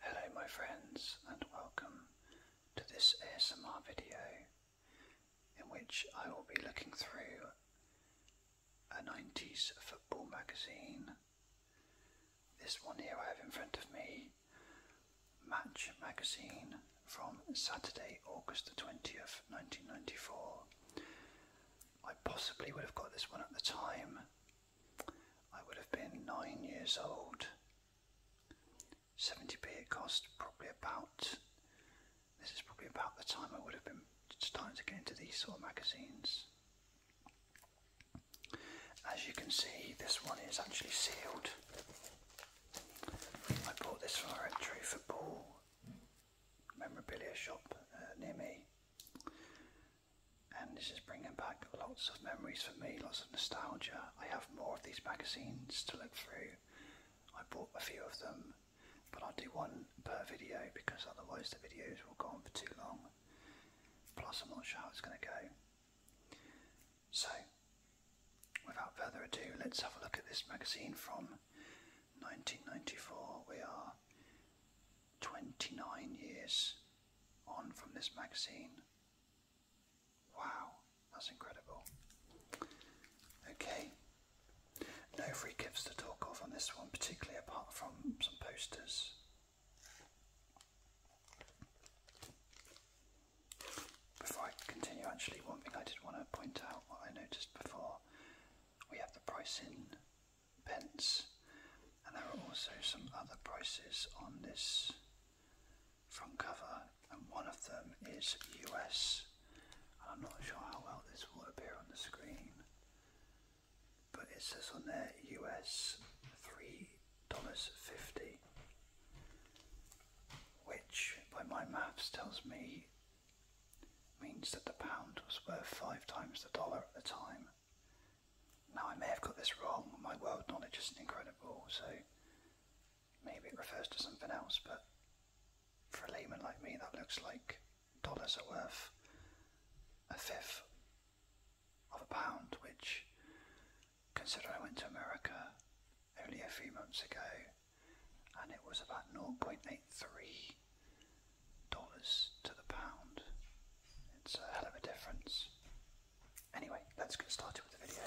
Hello my friends and welcome to this ASMR video in which I will be looking through a 90s football magazine. This one here I have in front of me, Match magazine from Saturday, August the 20th, 1994. I possibly would have got this one at the time I would have been nine years old. 70p it cost probably about, this is probably about the time I would have been starting to get into these sort of magazines. As you can see, this one is actually sealed. I bought this from a entry football memorabilia shop uh, near me and this is bringing back lots of memories for me, lots of nostalgia. I have more of these magazines to look through. I bought a few of them, but I'll do one per video because otherwise the videos will go on for too long. Plus, I'm not sure how it's going to go. So, without further ado, let's have a look at this magazine from 1994. We are 29 years on from this magazine. Wow, that's incredible. Okay, no free gifts to talk of on this one, particularly apart from some posters. Before I continue, actually, one thing I did want to point out, I noticed before, we have the price in pence. And there are also some other prices on this front cover, and one of them is US. I'm not sure how well this will appear on the screen, but it says on there US $3.50, which by my maths tells me means that the pound was worth five times the dollar at the time. Now I may have got this wrong, my world knowledge is incredible, so maybe it refers to something else, but for a layman like me that looks like dollars are worth a fifth of a pound, which consider, I went to America only a few months ago and it was about 0.83 dollars to the pound. It's a hell of a difference. Anyway, let's get started with the video.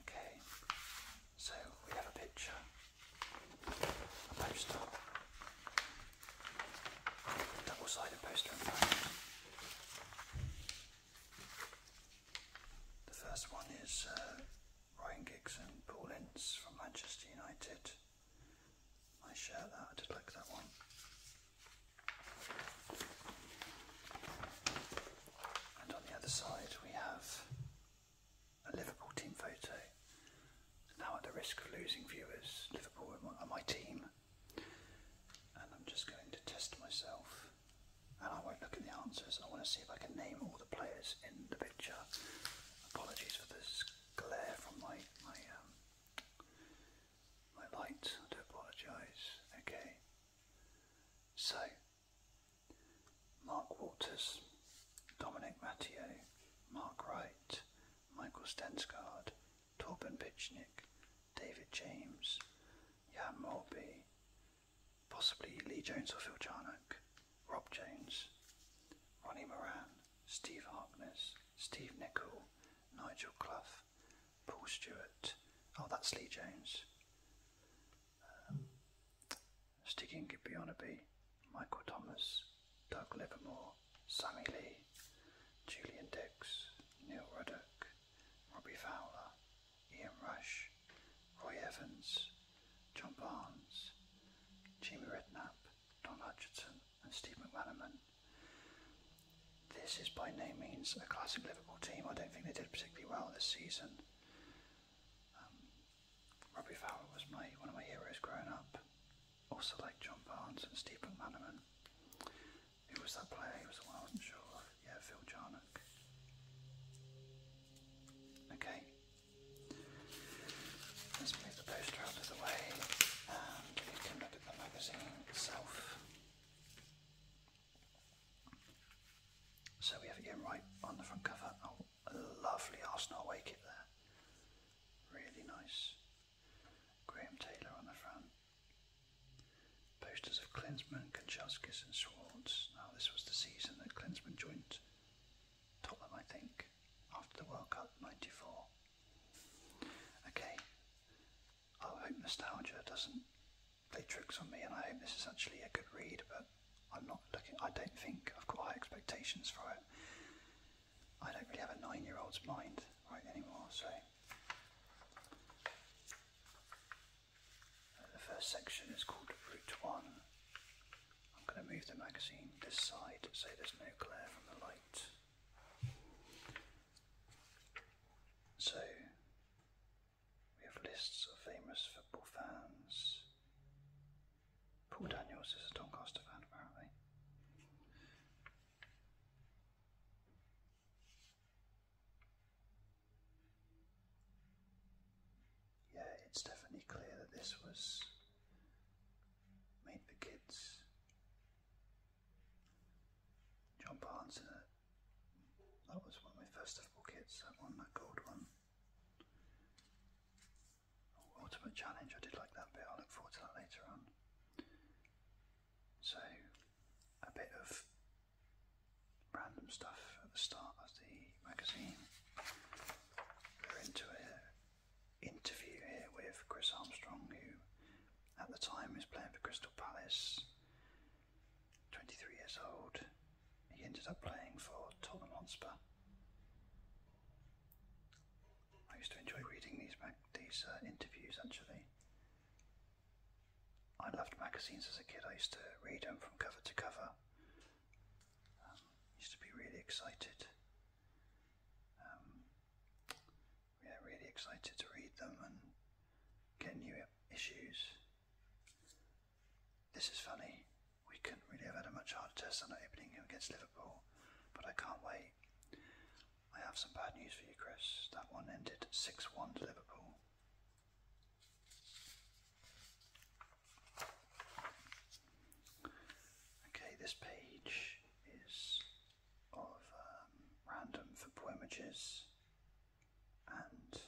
Okay, so we have a picture, a poster Double-sided poster The first one is uh, Ryan Giggs and Paul Ince from Manchester United. I share I did like that one. And on the other side we have a Liverpool team photo. Now at the risk of losing viewers, Liverpool are my team and I'm just going to test myself and I won't look at the answers. I want to see if I can name all the players in the picture. Apologies for this glare from my my um, my light. I do apologise. Okay. So Mark Walters, Dominic Matteo, Mark Wright, Michael Stensgaard, Torben Pichnik, David James, Jan Mulby, possibly Lee Jones or Phil Charnock, Rob Jones, Ronnie Moran, Steve Harkness, Steve Nichol, Nigel Clough, Paul Stewart, oh that's Lee Jones, Sticking um, Stig Inge Michael Thomas, Doug Livermore, Sammy Lee, Julian Dix, Neil Ruddock, Robbie Fowler, Ian Rush, Roy Evans, John Barnes, Jimmy Redknapp, Don Hutchinson, and Steve McManaman. This is by no means a classic Liverpool team. I don't think they did particularly well this season. Um, Robbie Fowler was my one of my heroes growing up also like John Barnes and Steve McManaman. Who was that player? was the one I wasn't sure of. Yeah, Phil Jarnock. Okay. Let's move the poster out of the way and we can look at the magazine itself. So we have it right on the front cover. Oh, lovely Arsenal away kit there. Really nice. Graham Taylor on the front. Posters of Klinsmann, Kanchelskis and Schwartz. Now this was the season that Klinsmann joined Tottenham, I think, after the World Cup 94. Okay, I hope nostalgia doesn't play tricks on me and I hope this is actually a good read, but I'm not looking, I don't think I've got high expectations for it. I don't really have a nine-year-old's mind right anymore, so uh, the first section is called Route 1. I'm going to move the magazine this side so there's no glare from the light. So we have lists of famous football fans. Paul Daniels is a Doncaster fan apparently. Yeah, it's definitely clear that this was made for kids. John Barnes uh, That was one of my first ever kids, that one, that gold one. Ultimate Challenge, I did like that bit, I'll look forward to that later on. So, a bit of random stuff at the start of the magazine. We're into an interview here with Chris Armstrong, who at the time is playing for Crystal Palace, 23 years old. He ended up playing for Tottenham Hotspur. I used to enjoy reading these these uh, interviews actually. I loved magazines as a kid. I used to read them from cover to cover. Um, used to be really excited. Um, yeah, really excited to read them and get new issues. This is funny. We couldn't really have had a much harder test than opening against Liverpool, but I can't wait. I have some bad news for you, Chris. That one ended 6 1 to Liverpool. Okay, this page is of um, random for poemages and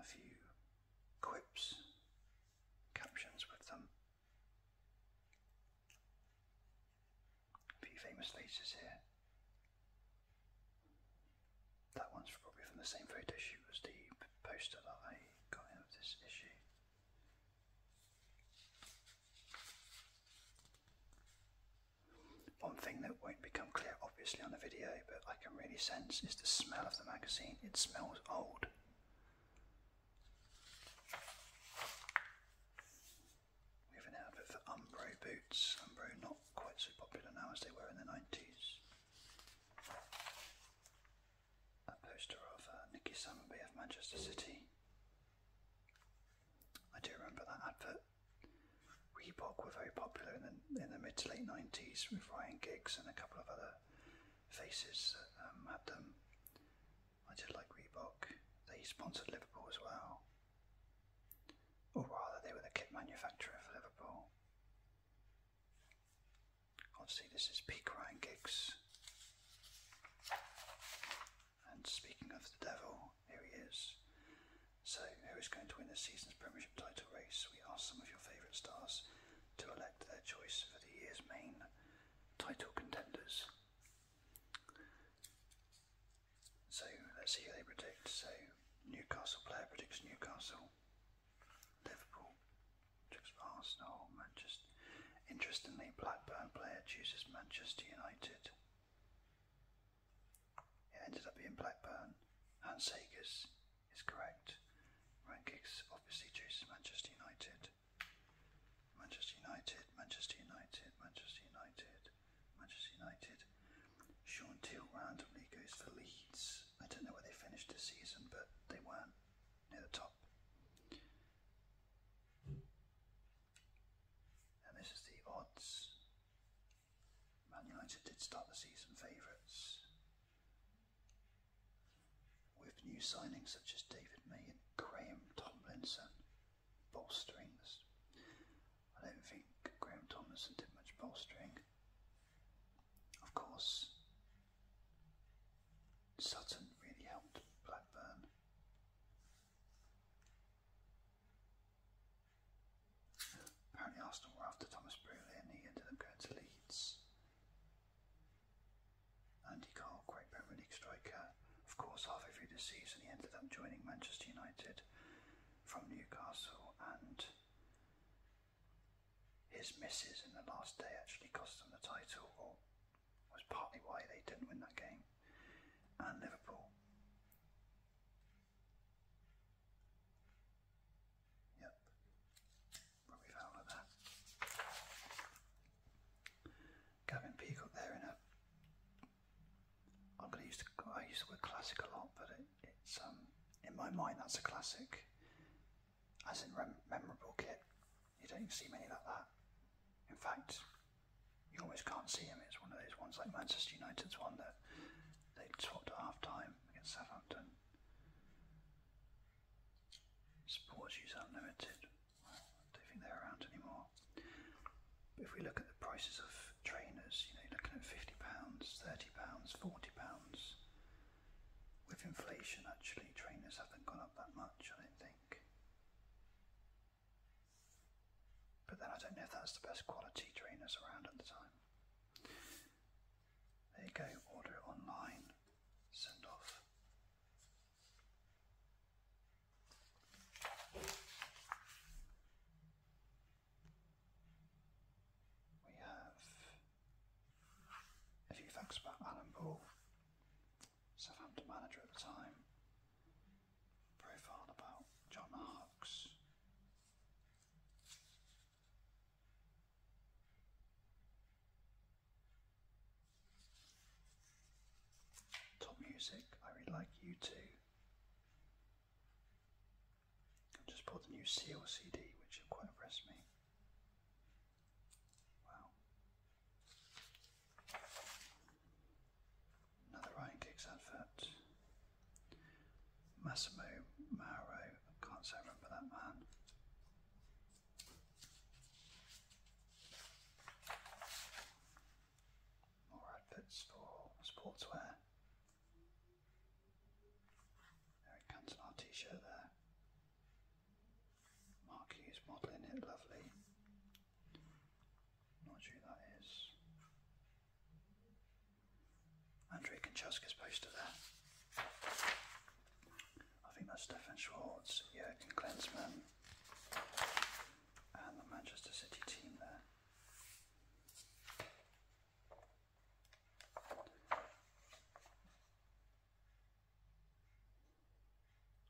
a few quips, captions with them. A few famous faces here. That one's probably from the same photo shoot as the poster that I got in of this issue. One thing that won't become clear obviously on the video, but I can really sense is the smell of the magazine. It smells old. We have an outfit for Umbro boots. Umbro not quite so popular now as they were in the 90s. A poster of uh, Nicky Summerby of Manchester City. I do remember that advert. Reebok were very popular in the, in the mid to late 90s with Ryan Giggs and a couple of other faces um, had them. I did like Reebok. They sponsored Liverpool as well. Or rather, they were the kit manufacturer for Liverpool. Obviously, this is peak Ryan Giggs. And speaking of the devil, here he is. So, who is going to win this season's Premiership title race? We asked some of your favourite stars to elect their choice for the year's main title contenders. So let's see who they predict. So Newcastle player predicts Newcastle, Liverpool, predicts Arsenal, Manchester. Interestingly, Blackburn player chooses Manchester United. It ended up being Blackburn. Hans Sagers is correct. Rankings obviously chooses Manchester United. Manchester United, Manchester United, Manchester United, Manchester United. Sean Teal randomly goes for Leeds. I don't know where they finished this season, but they weren't near the top. And this is the odds. Man United did start the season favourites with new signings such as David May and Graham Tomlinson bolstering this. I don't think Graham Tomlinson did much bolstering. Of course, Sutton really helped Blackburn. Apparently Arsenal were after Thomas Brolin, he ended up going to Leeds. Andy Carl, great Premier League striker. Of course, halfway through the season, he ended up joining Manchester United from Newcastle, and his misses in the last day actually cost them the title, was partly why they didn't win that game. And Liverpool. Yep probably found like that. Gavin Peacock there in a. I'm going to use the I use the word classic a lot, but it, it's um in my mind that's a classic, as in memorable kit. You don't even see many like that. In fact, you almost can't see him. It's one of those ones like Manchester United's one that they swapped at half time against Southampton. Sports Use Unlimited. I don't think they're around anymore. if we look at the prices of trainers, you know, looking at fifty pounds, thirty pounds, forty pounds. With inflation, actually, trainers haven't gone up that much. I don't think. But then I don't know if that's the best quality trainers around at the time. There you go, order it online send off. We have a few facts about Alan Ball, Southampton manager at the time, profile about John Harkes, Top music, I really like you too. just bought the new Seal CD, which quite impressed me. Wow. Another Ryan Giggs advert. Massimo Mauro, I can't say I remember that man. More outfits for sportswear. Eric Cantona t-shirt there. Mark Hughes modelling it, lovely. Not sure that is. Andrei Kanchaska's poster there. I think that's Stefan Schwartz, Jurgen Klinsmann, and the Manchester City team there.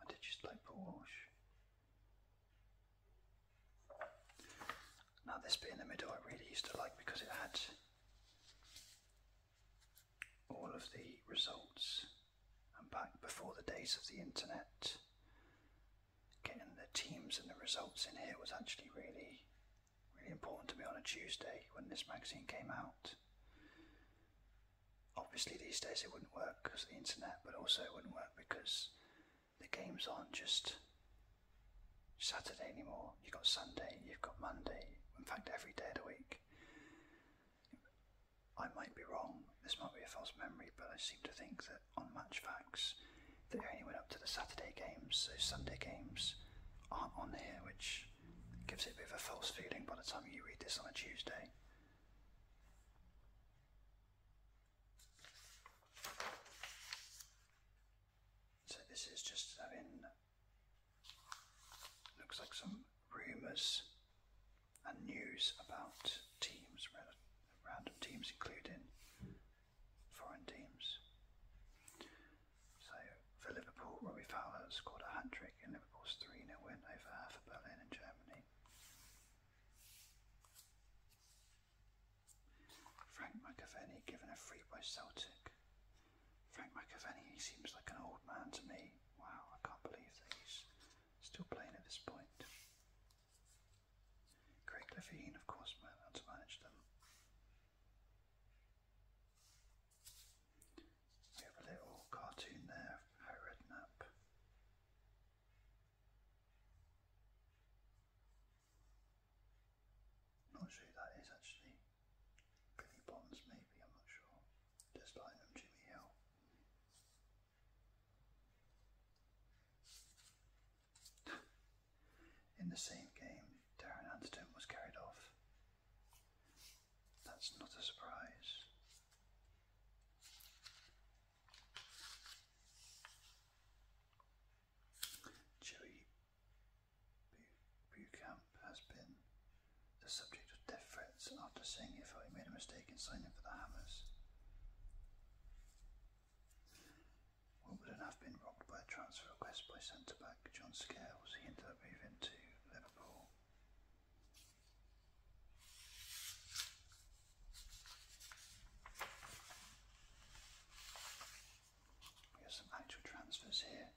I did just like Paul Walsh. Now this bit in the middle I really used to like because it had all of the results and back before the days of the internet getting the teams and the results in here was actually really really important to me on a Tuesday when this magazine came out obviously these days it wouldn't work because of the internet but also it wouldn't work because the games aren't just Saturday anymore you've got Sunday you've got Monday in fact every day of the week I might be wrong, this might be a false memory, but I seem to think that on Match Facts they only went up to the Saturday games, so Sunday games aren't on here, which gives it a bit of a false feeling by the time you read this on a Tuesday. So this is just having looks like some rumours and news about teams, random teams, including foreign teams. So for Liverpool, Robbie Fowler scored a hat trick in Liverpool's 3 nil win over Hertha Berlin in Germany. Frank McAvenny given a free by Celtic Frank McAvaney, he seems like an old man to me. Wow, I can't believe that he's still playing at this point. Craig Levine, of course, man, how to manage them. We have a little cartoon there of Harry Redknapp. Not sure who that is actually. Billy Bonds, maybe, I'm not sure. Des Bynum, Jimmy Hill. In the same game, Darren Anderton was carried off. That's not a surprise. Joey Buchamp has been the subject of death threats after saying if I made a mistake in signing for the Hammers. Wimbledon have been rocked by a transfer request by centre back John Scales. He ended up moving to Liverpool. We have some actual transfers here.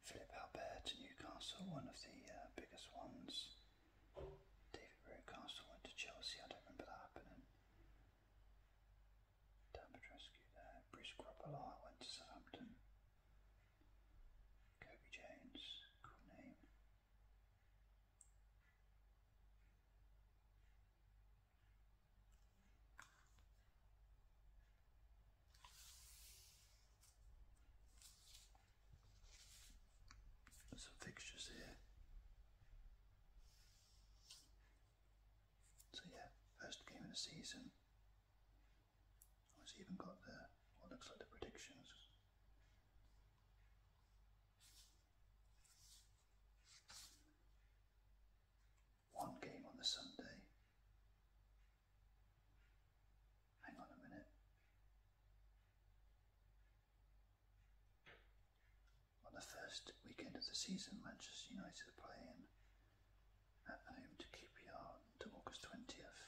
Philip Albert to Newcastle, one of the uh, biggest ones. David Rowcastle went to Chelsea, I don't remember that happening. Damage there. Bruce Grobbelaar went to Southampton. Kobe Jones, cool name some fixtures here. So yeah, first game of the season. It's even got the what looks like the predictions one game on the Sunday. Hang on a minute. On the first weekend of the season, Manchester United are playing at home to QPR until August 20th.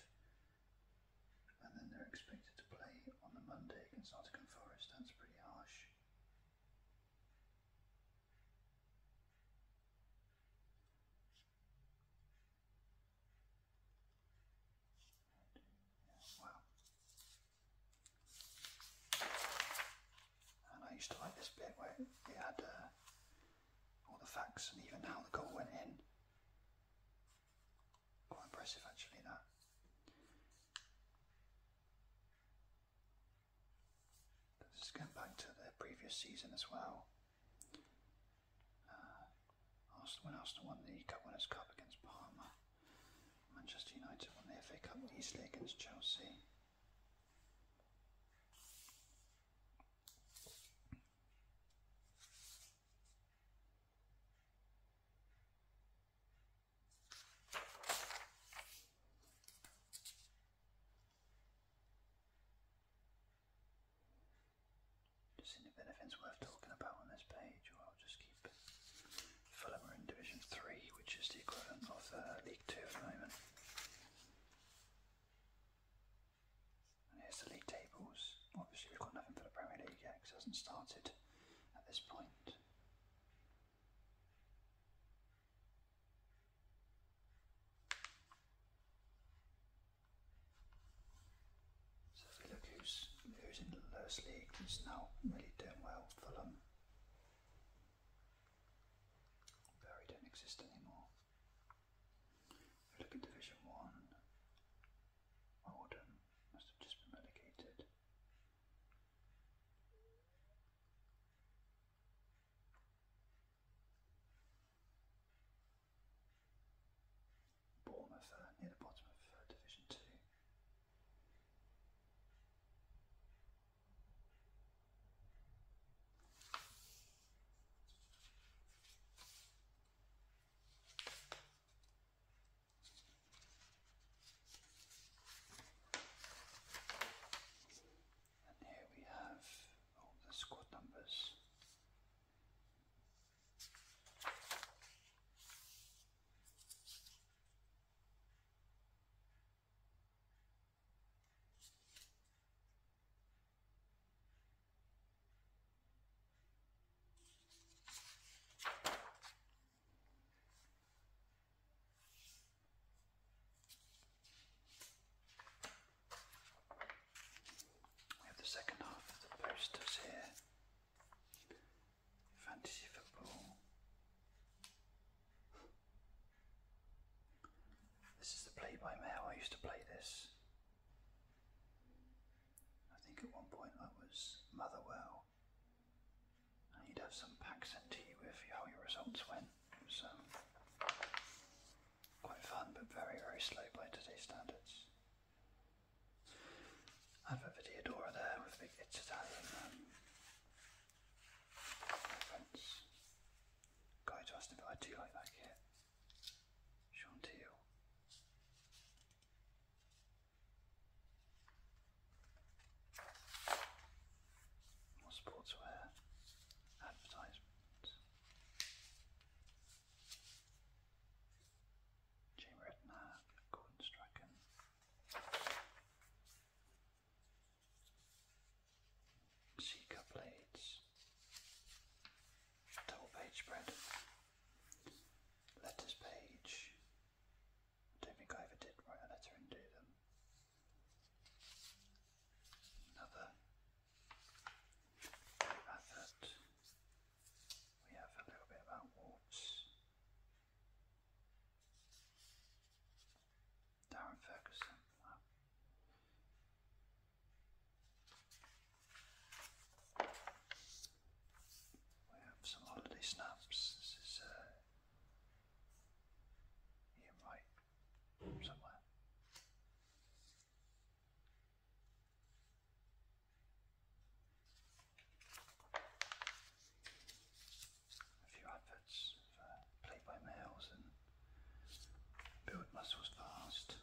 And then they're expected to play on the Monday against Nottingham Forest. That's pretty harsh. And I used to like this bit where it had uh, all the facts and even how the goal went in. Quite impressive actually that. This is going back to the previous season as well. Uh, Arsenal, when Arsenal won the Cup Winners' Cup against Parma, Manchester United won the FA Cup easily against Chelsea. Just seeing if worth talking about on this page, or I'll just keep Fulham in Division 3, which is the equivalent of uh, League 2 at the moment. here's the league tables. Obviously, we've got nothing for the Premier League yet because it hasn't started at this point. So if we look who's, who's in the lowest league, who's now really doing well, Fulham. Barry don't exist anymore. If we look at Division 1, Oldham must have just been relegated. Bournemouth are near the bottom of uh, Division 2. And here we have all the squad numbers. We have the second half of the posters here. Fantasy football. This is the play by mail. I used to play this. I think at one point I was Motherwell. And you'd have some packs sent to you with how your results went. So quite fun, but very, very slow by today's standards. I have a Videodora there with big it's Italian um, reference. Guy to but I do like that kit. Sean Teal more sportswear advertisements. Jim Redknapp, Gordon Strachan. Seeker blades, double page spread, letters page. don't think I ever did write a letter and do them. Another advert. We have a little bit about warts. Darren Ferguson. We have some holiday snaps. This is uh, Ian somewhere. A few adverts for by males and build muscles fast.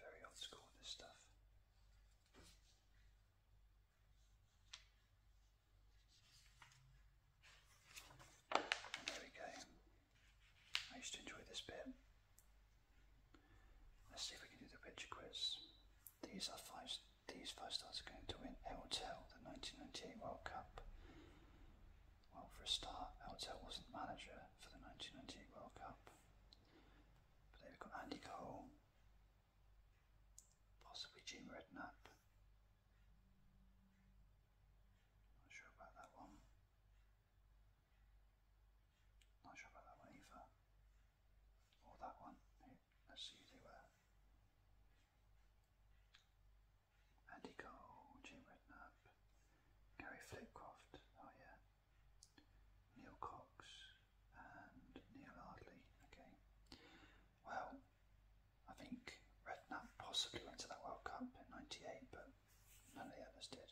Very old school this stuff. there we go. I used to enjoy this bit. Let's see if we can do the picture quiz. These five these five stars are going to win Eltel, the nineteen ninety eight World Cup. Well for a start, Eltel wasn't manager for the nineteen ninety eight World Cup. But there we've got Andy Cole, possibly Jim Redknapp. Not sure about that one. Not sure about that one either. Or that one. let's see who they were. Andy Cole, Jim Redknapp, Gary Flitcroft, oh yeah. Neil Cox and Neil Ardley. Okay. Well, I think Redknapp possibly went to that World Cup in '98, but none of the others did.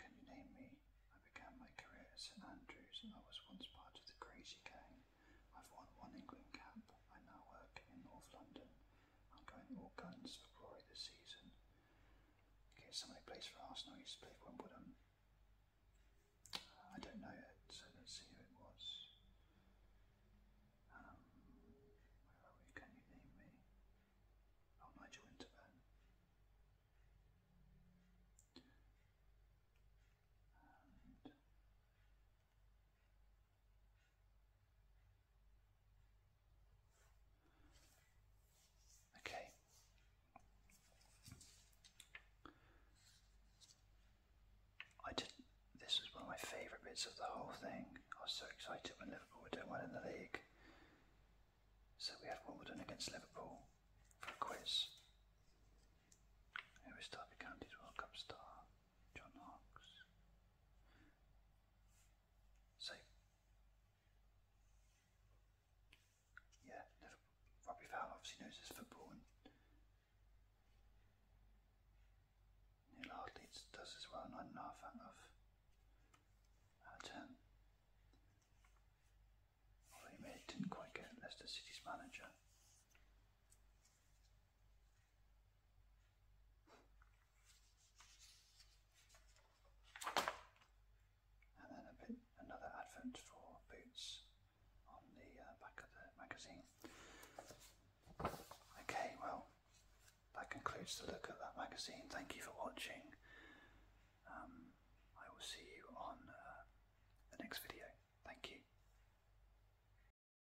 Can you name me? I began my career at St Andrews I was once part of the crazy gang. I've won one England cap. I now work in North London I'm going all guns for glory this season. Okay, somebody plays for Arsenal, he used to play for Wimbledon. I don't know yet. so let's see who it was. Um, where are we? Can you name me? Oh, Nigel Winterburn. Okay. I did. This was one of my favourite bits of the whole thing. I was so excited when Liverpool were doing well in the league. So we had Wimbledon against Liverpool for a quiz. Who is Derby County's World Cup star? John Knox. So, yeah, Robbie Fowler obviously knows his football and Neil Hartley does as well, and i not a fan of at uh, um, although didn't quite get Leicester City's manager. And then a bit another advert for boots on the uh, back of the magazine. Okay, well, that concludes the look at that magazine. Thank you for watching. Um, I will see you on uh, the next video. Thank you.